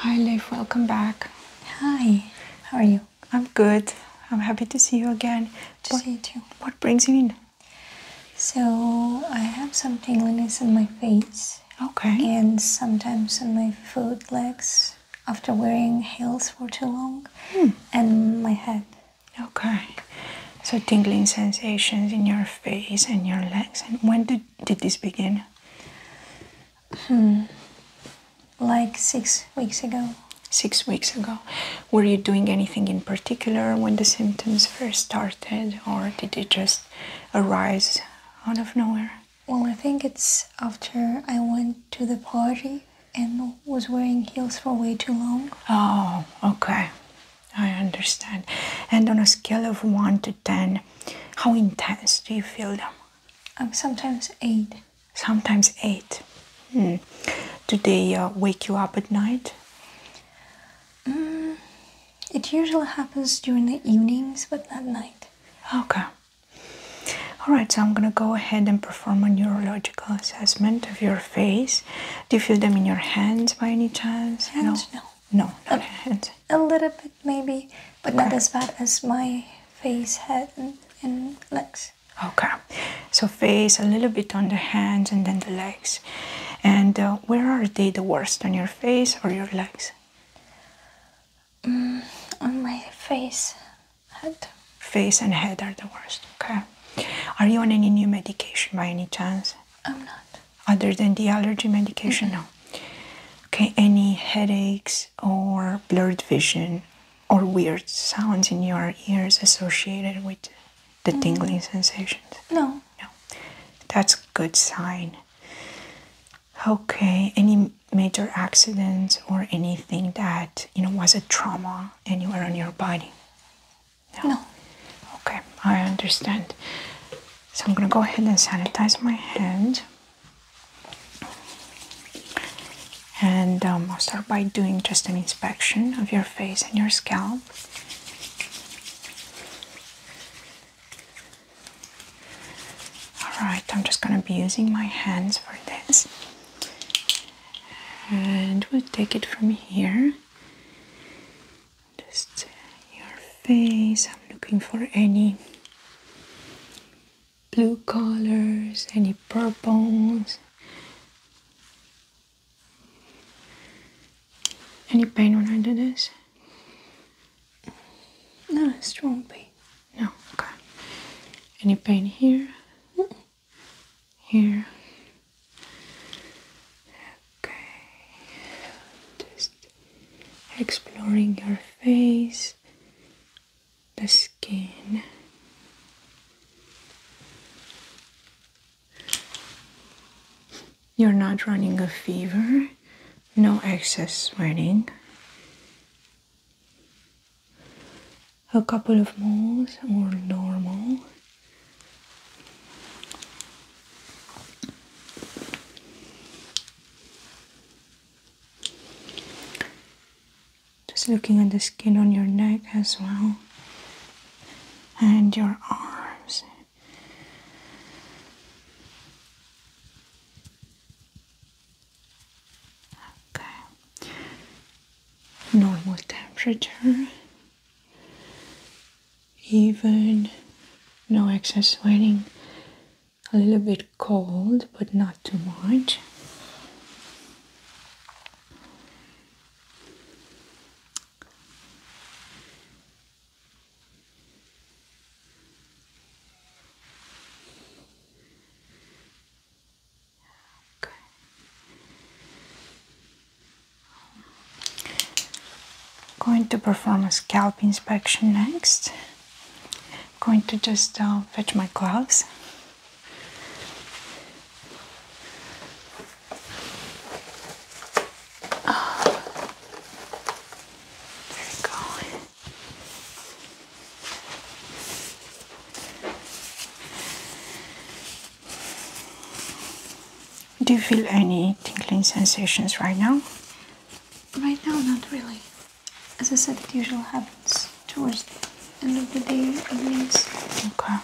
Hi, Liv. Welcome back. Hi. How are you? I'm good. I'm happy to see you again. To what, too. What brings you in? So I have some tingliness in my face. Okay. And sometimes in my foot legs after wearing heels for too long hmm. and my head. Okay. So tingling sensations in your face and your legs. And when did, did this begin? Hmm. Like six weeks ago. Six weeks ago. Were you doing anything in particular when the symptoms first started or did it just arise out of nowhere? Well, I think it's after I went to the party and was wearing heels for way too long. Oh, okay. I understand. And on a scale of 1 to 10, how intense do you feel them? Um, sometimes 8. Sometimes 8. Hmm. Do they uh, wake you up at night? Mm, it usually happens during the evenings, but not night. Okay. Alright, so I'm gonna go ahead and perform a neurological assessment of your face. Do you feel them in your hands by any chance? Hands? No. No, no a, hands. A little bit maybe, but not as bad as my face, head, and, legs. Okay, so face, a little bit on the hands, and then the legs. And uh, where are they the worst, on your face or your legs? Mm, on my face, head. Face and head are the worst. Okay. Are you on any new medication by any chance? I'm not. Other than the allergy medication, no. Okay. Any headaches or blurred vision or weird sounds in your ears associated with the mm. tingling sensations? No. No. That's good sign. Okay. Any major accidents or anything that you know was a trauma anywhere on your body? No. Okay, I understand. So I'm gonna go ahead and sanitize my hand. And um, I'll start by doing just an inspection of your face and your scalp. Alright, I'm just going to be using my hands for this and we'll take it from here. Just your face. I'm looking for any blue colors, any purples, any pain when I do this. No, it's not pain. No, okay. Any pain here? Here. Okay. Just exploring your face, the skin. You're not running a fever, no excess sweating, a couple of moles or normal just looking at the skin on your neck as well and your arms Okay. Normal temperature. Even no excess sweating. A little bit cold, but not too much. I'm going to perform a scalp inspection next. I'm going to just uh, fetch my gloves. There we go. Do you feel any tingling sensations right now? Right now, not really. As I said, it usually happens towards the end of the day, evenings. Okay.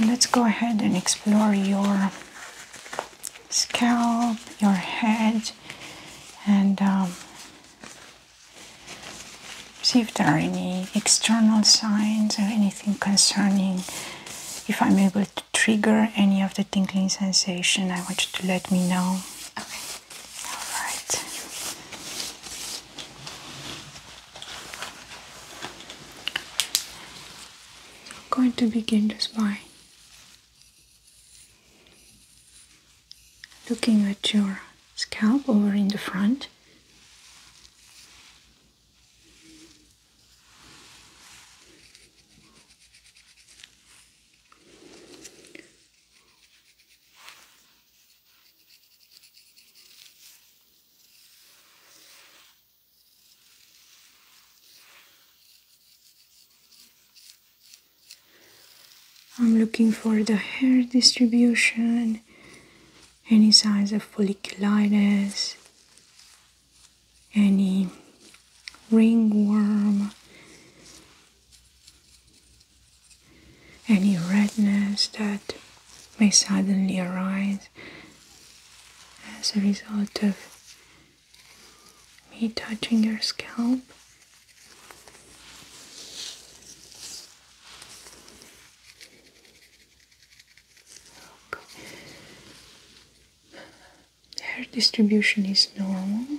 Let's go ahead and explore your scalp, your head, and um, see if there are any external signs or anything concerning if I'm able to trigger any of the tingling sensation. I want you to let me know. Okay. All right. I'm going to begin just by looking at your scalp over in the front. I'm looking for the hair distribution, any signs of folliculitis, any ringworm, any redness that may suddenly arise as a result of me touching your scalp. Hair distribution is normal.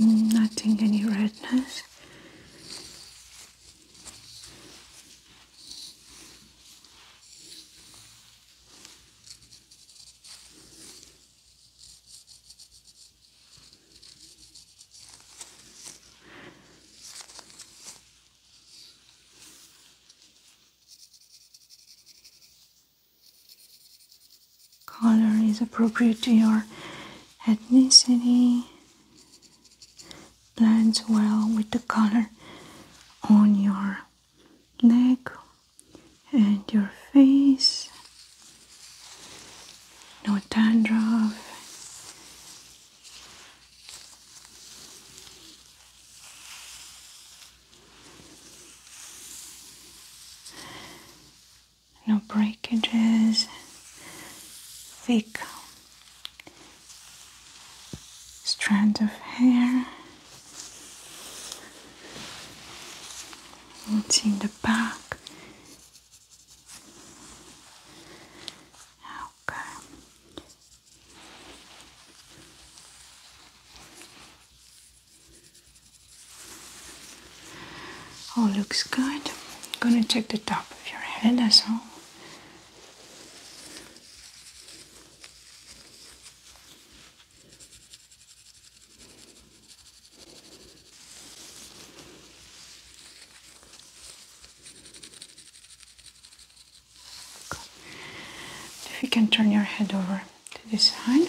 Mm, nothing, any redness. Color is appropriate to your ethnicity, blends well with the color on your neck and your face no dandruff. No breakages, thick strand of hair. It's in the back, Okay. Oh, looks good. Gonna check the top of your head as well. If you can turn your head over to this side.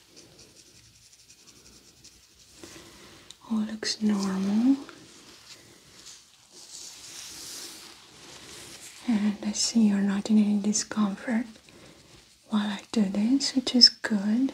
All looks normal. And I see you're not in any discomfort while I do this, which is good.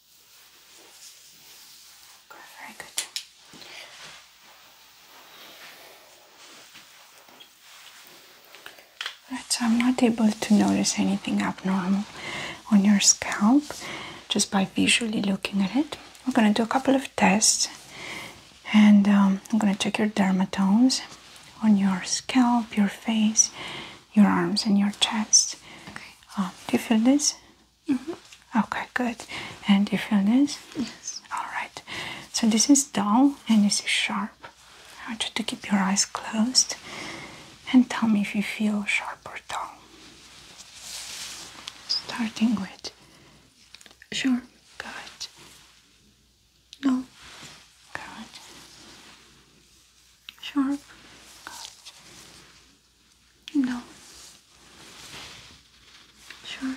Okay, very I'm um, not able to notice anything abnormal on your scalp just by visually looking at it. We're going to do a couple of tests and um, I'm going to check your dermatomes on your scalp, your face, your arms, and your chest. Uh, do you feel this? Mm-hmm. Okay, good. And you feel this? Yes. All right. So this is dull and this is sharp. I want you to keep your eyes closed and tell me if you feel sharp or dull. Starting with. Sure. Good. No. Good. Sharp. No. Sure.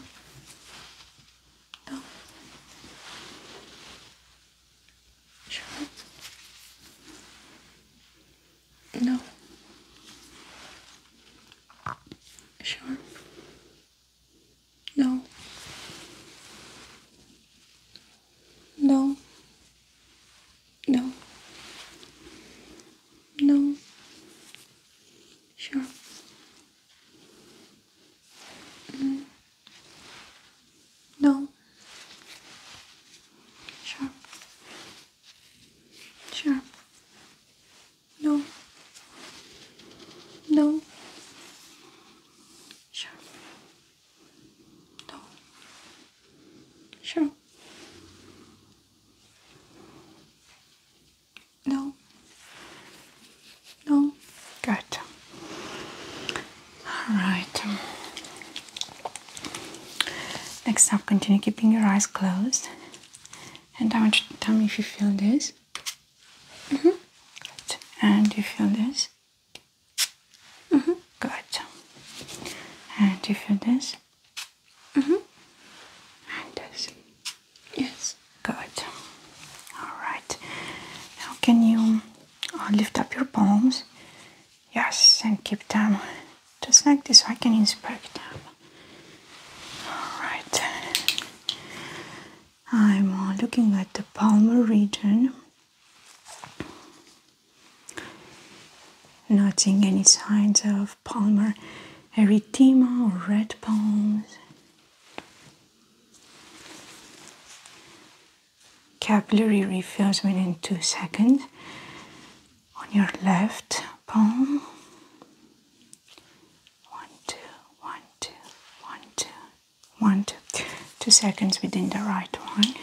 No. Sure. No. Sure. No. No. No. No. Sure. Mm. No. Sure. Sure. No. No. Sure. No. Sure. No. No. Good. All right. Next up, continue keeping your eyes closed. And tell me if you feel this. -hmm. And you feel this. Mm -hmm. Good. And you feel this. Mm-hmm. And yes, good. All right. Now, can you uh, lift up your palms? Yes, and keep them just like this. So I can inspect them. All right. I'm uh, looking at the palmar region noting any signs of palmar erythema or red palms. Capillary refills within two seconds on your left palm. One, two, one, two, one, two, one, two. Two seconds within the right one.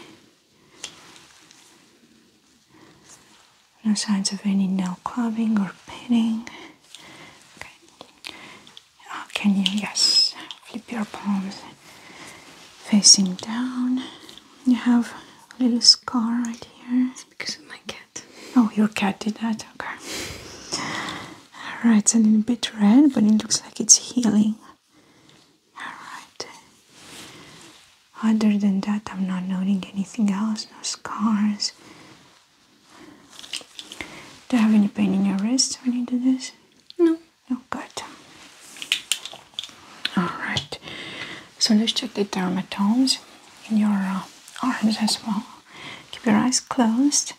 No signs of any nail clubbing or pinning. Okay. Oh, can you, yes, flip your palms facing down? You have a little scar right here. because of my cat. Oh, your cat did that? Okay. Alright, it's a little bit red, but it looks like it's healing. Alright. Other than that, I'm not noting anything else, no scars. Do you have any pain in your wrist when you do this? No. No, good. Alright, so let's check the dermatomes in your uh, arms as well. Keep your eyes closed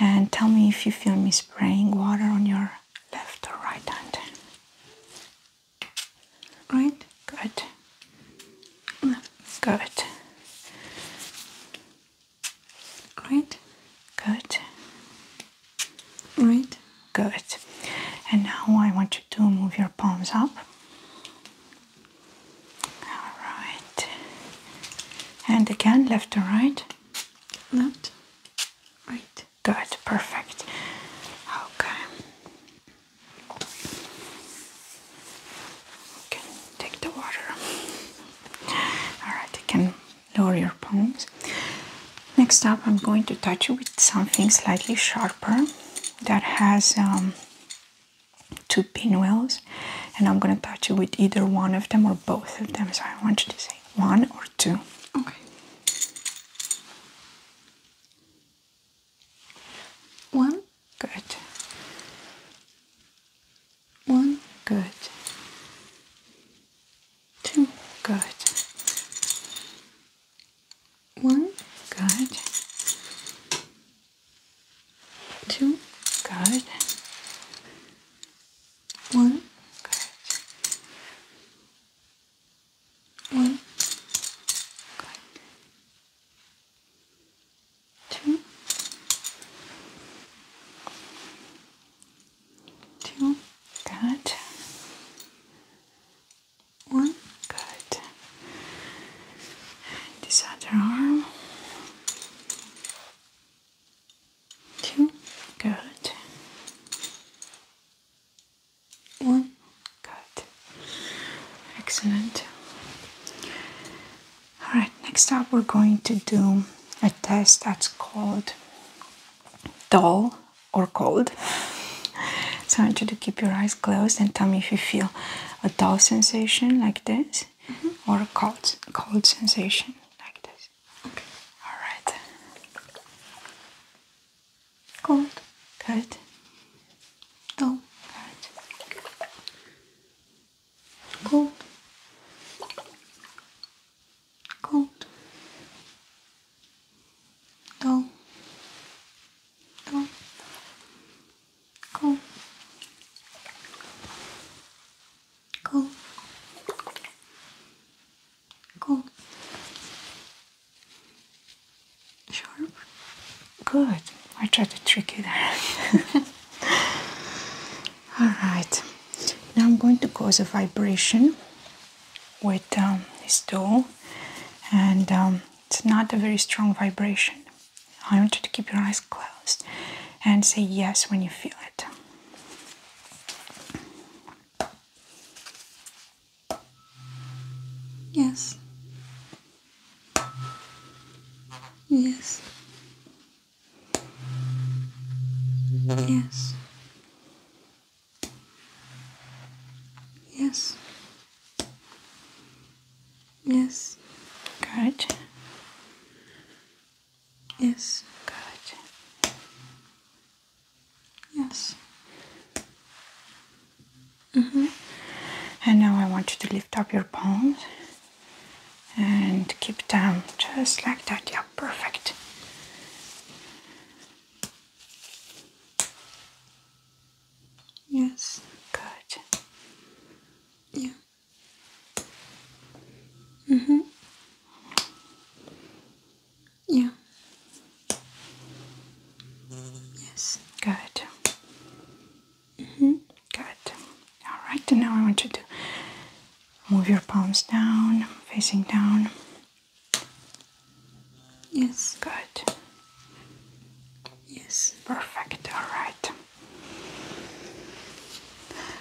and tell me if you feel me spraying water on your left or right hand. Right? Good. Good. Right? Good. Right? Good. And now I want you to move your palms up. Alright. And again, left to right. Left. Right. Good. Perfect. Okay. You can take the water. Alright, you can lower your palms. Next up, I'm going to touch you with something slightly sharper that has um, two pinwheels, and I'm going to touch you with either one of them or both of them. So I want you to say one or two. Okay. One, good. One, good. Two, good. One, good. Two, good. One, good. One. Good. Two. Two. Good. One. Good. And this other arm. Two. Good. One. Good. Excellent. Alright, next up we're going to do a test that's called dull or cold. So I want you to keep your eyes closed and tell me if you feel a dull sensation like this mm-hmm. or a cold, cold sensation like this. Okay. Alright. Cold. Good. Dull. Good. Cold. Cold. Dull. Dull. Cold. Cold. Cold. Sharp? Good. I tried to trick you there. Alright. Now I'm going to cause a vibration with um, this tool and um, it's not a very strong vibration. I want you to keep your eyes closed and say yes when you feel it. Yes. Yes. Yes. Yes. Yes. Good. Yes. Good. Yes. Mm-hmm. And now I want you to lift up your palms and keep them just like that. Yeah, perfect. Yes, good. Yeah. Mm-hmm. Yeah. Yes, good. -hmm. Good. All right, and now I want you to move your palms down, facing down. Yes, good. Yes, perfect. All right.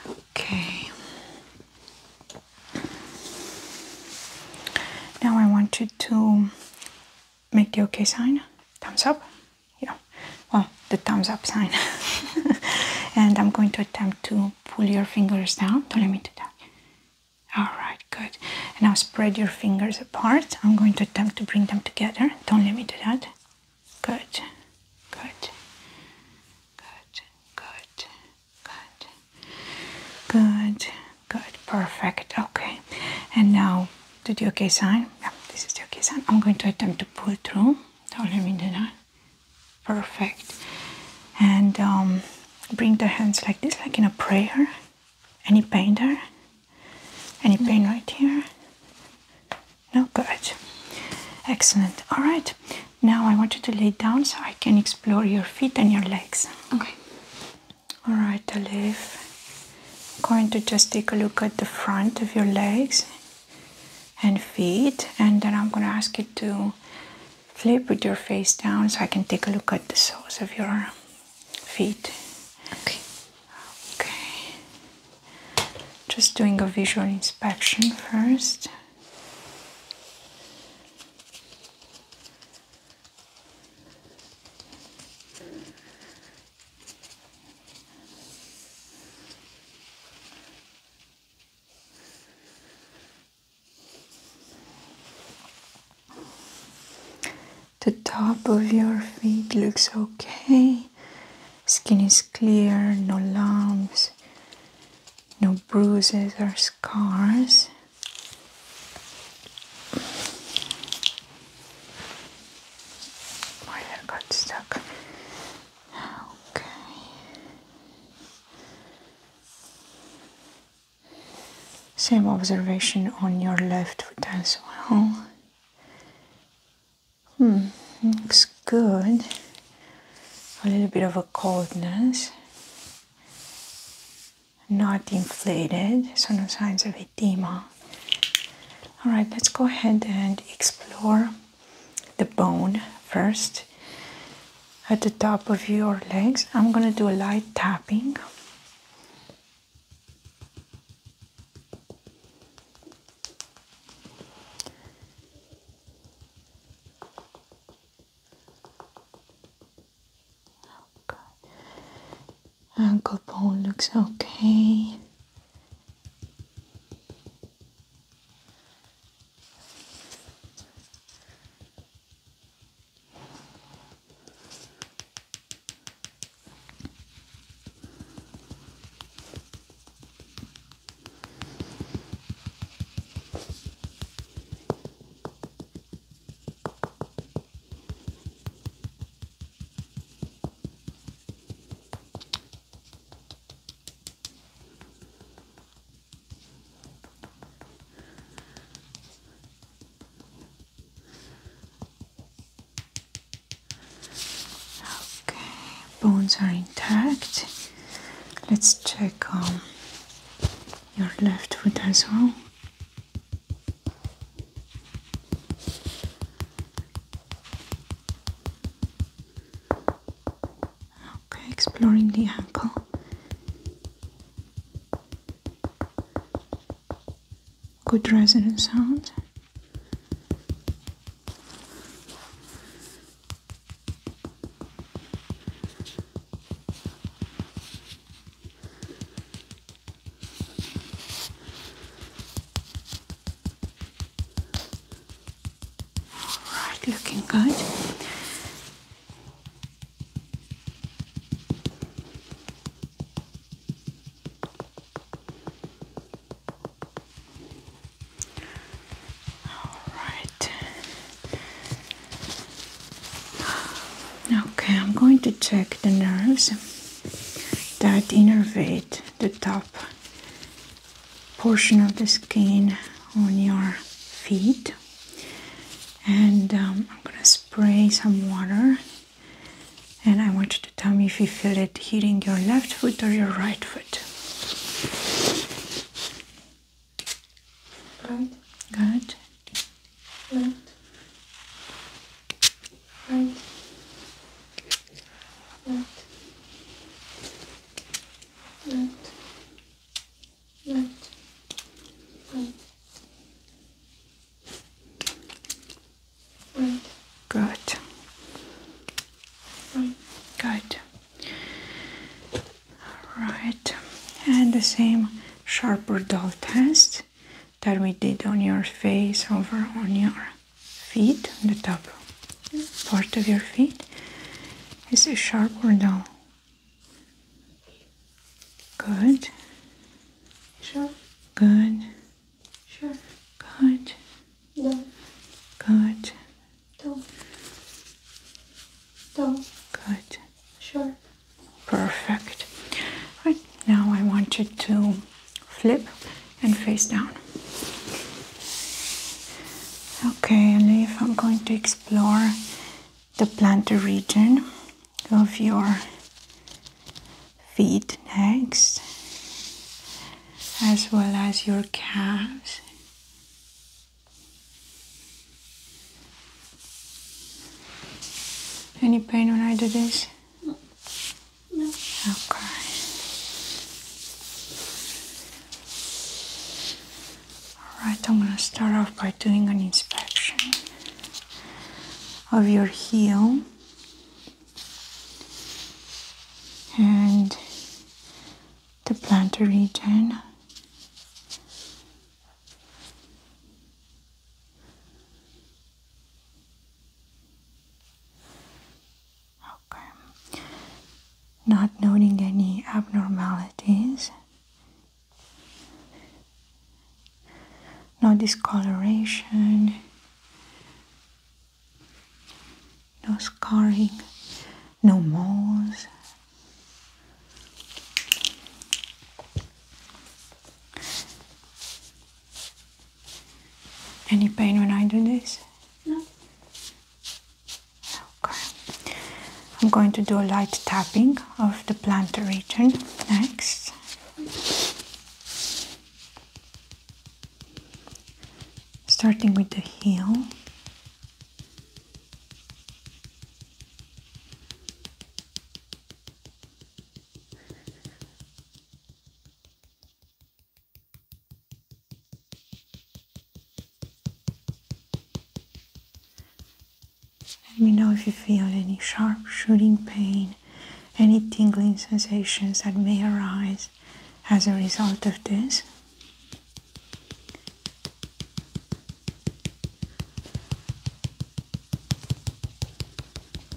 Okay. Now I want you to make the okay sign, thumbs up. Yeah, well, the thumbs up sign. and I'm going to attempt to pull your fingers down. Don't let me do that. All right, good. And now spread your fingers apart. I'm going to attempt to bring them together. Don't let me do that. Good, good, good, good, good, good. Good, perfect. Okay, and now to the okay sign. Yeah, this is the okay sign. I'm going to attempt to pull through. Don't let me do Perfect. And um, bring the hands like this, like in a prayer. Any pain there? Any pain right here? No, good. Excellent. All right. Now I want you to lay down so I can explore your feet and your legs. Okay. All right, Alif. I'm going to just take a look at the front of your legs and feet, and then I'm going to ask you to flip with your face down so I can take a look at the soles of your feet. Okay. Okay. Just doing a visual inspection first. The top of your feet looks okay. Skin is clear, no lumps, no bruises or scars. My hair got stuck. Okay. Same observation on your left foot as well. Hmm, looks good. A little bit of a coldness not inflated, so no signs of edema. All right, let's go ahead and explore the bone first at the top of your legs. I'm going to do a light tapping. Okay. Oh, Ankle bone looks okay. Okay, bones are intact. Let's check on um, your left foot as well. Okay, exploring the ankle. Good resonance sound. All right, looking good. All right. Okay, I'm going to check the nerves that innervate the top portion of the skin on your feet. And um, I'm gonna spray some water. And I want you to tell me if you feel it heating your left foot or your right foot. Right. Good left, right, left, left, left, right, right. Good. Right. and the same sharper dull test that we did on your face over on your feet, on the top part of your feet, is it sharp or dull? Good. Sure. Good. Sure. Good. Dull. Good. Dull. Dull. Good. Sure. Perfect. now, I want you to flip and face down. Okay, and if I'm going to explore the plantar region of your feet next, as well as your calves. Any pain when I do this? No. no. Okay. Alright, I'm gonna start off by doing an inspection of your heel and the plantar region. Okay. Not noting any abnormalities, no discoloration, no scarring, no moles, any pain when I do this? No. Okay. I'm going to do a light tapping of the plantar region next. Starting with the heel. Let me know if you feel any sharp shooting pain, any tingling sensations that may arise as a result of this.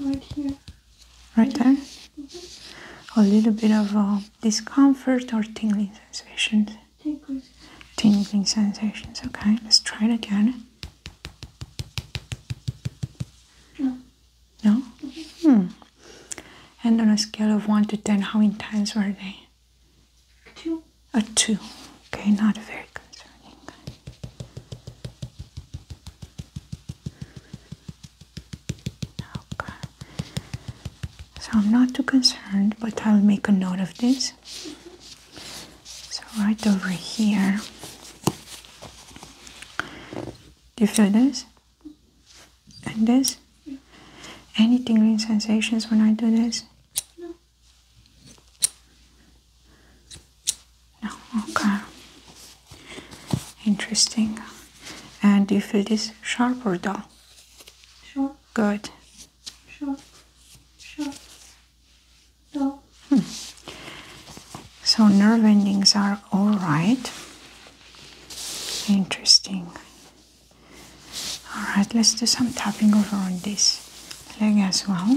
Right here. Right there? A little bit of uh, discomfort or tingling sensations? Tingling. Tingling sensations. Okay, let's try it again. No. No? Mm-hmm. hmm. And on a scale of 1 to 10, how intense were they? Two a two. Okay, not very concerning. Okay. So I'm not too concerned, but I'll make a note of this. So right over here. Do you feel this? And this? Any tingling sensations when I do this? No. No, oh, okay. Interesting. And do you feel this sharp or dull? Sure. Good. Sure. Sure. Dull. Hmm. So nerve endings are all right. Interesting. All right, let's do some tapping over on this leg as well.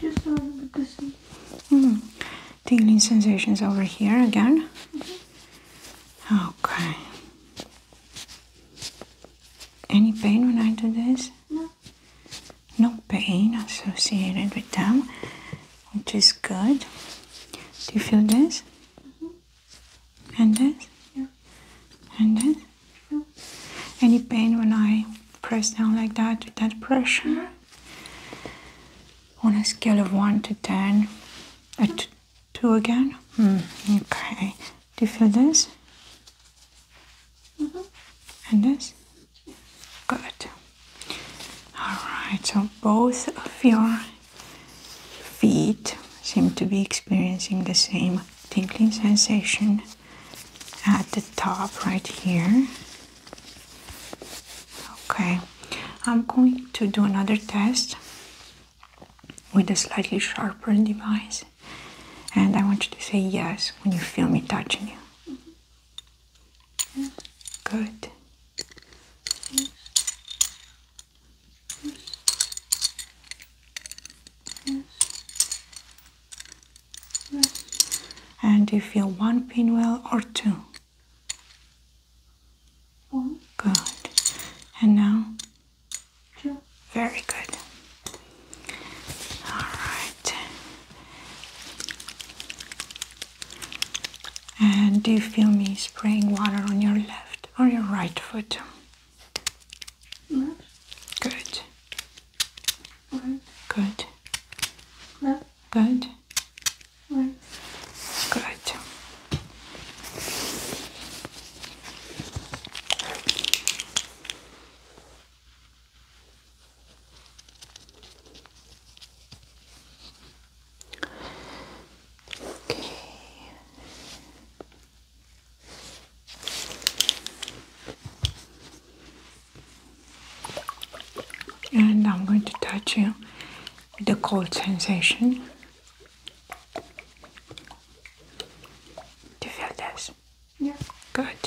Just over the sea. Tingling sensations over here again. Mm-hmm. Okay. Any pain when I do this? No. No pain associated with them, which is good. Do you feel this? Mm-hmm. And this? Yeah. And this? Yeah. Any pain when I press down like that with that pressure? Mm-hmm. On a scale of 1 to 10, a t 2 again? Mm, okay. Do you feel this? Mm-hmm. And this? Good. Alright, so both of your feet seem to be experiencing the same tingling sensation at the top right here. Okay, I'm going to do another test with a slightly sharper device. And I want you to say yes when you feel me touching you. Good. And you feel one pinwheel or two? One. Good. And now very good. All right. And do you feel me spraying water on your left or your right foot? Left. Good. Right. Good. Good. Good. Okay. And I'm going to touch you with the cold sensation. Do you feel this? Yeah. Good.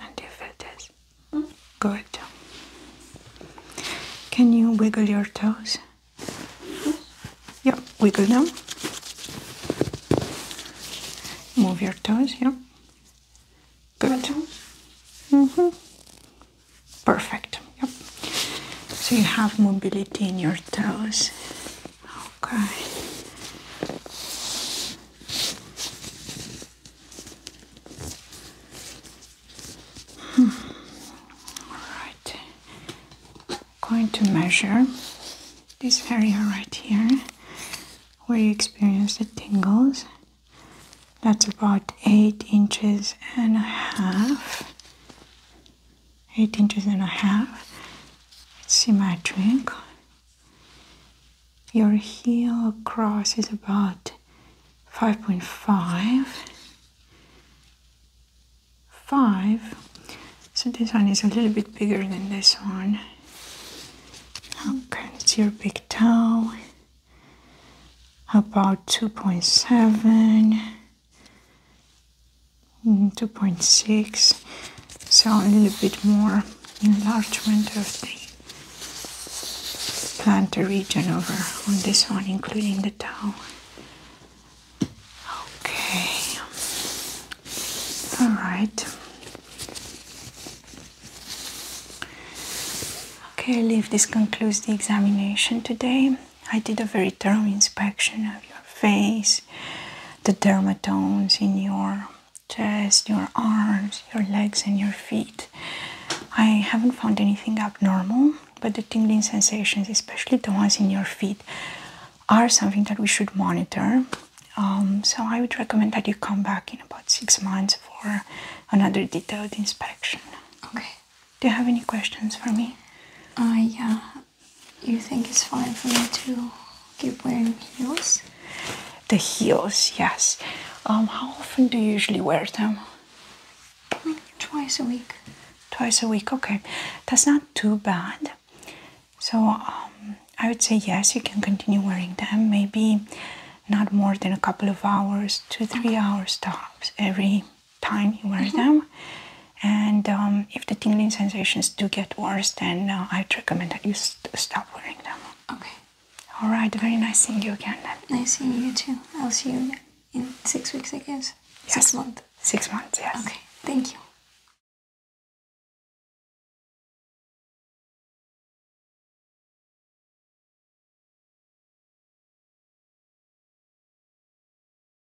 And you feel hmm? Good. Can you wiggle your toes? Yeah, wiggle them. Move your toes, yeah. Good. Mm-hmm. Perfect. Yep. So you have mobility in your toes. Okay. Hmm. All right. I'm going to measure this area right here where you experience the tingles. That's about eight inches and a half eight inches and a half. It's symmetric. Your heel across is about 5.5. So this one is a little bit bigger than this one. Okay, it's your big toe. About 2.7. Mm, 2.6 so a little bit more enlargement of the plantar region over on this one including the toe okay all right okay I leave this concludes the examination today I did a very thorough inspection of your face, the dermatomes in your chest, your arms, your legs, and your feet. I haven't found anything abnormal, but the tingling sensations, especially the ones in your feet, are something that we should monitor. Um, so I would recommend that you come back in about six months for another detailed inspection. Okay. Do you have any questions for me? Uh, yeah you think it's fine for me to keep wearing heels? The heels, yes. Um, how often do you usually wear them? twice a week. Twice a week, okay. That's not too bad. So um, I would say yes, you can continue wearing them. Maybe not more than a couple of hours, two, three hours tops every time you wear mm-hmm. them. And um, if the tingling sensations do get worse, then uh, I'd recommend that you stop wearing them. Okay. All right. Very nice seeing you again. Nice seeing you too. I'll see you in six weeks, I guess. Yes. Six months. Six months. Yes. Okay. Thank you.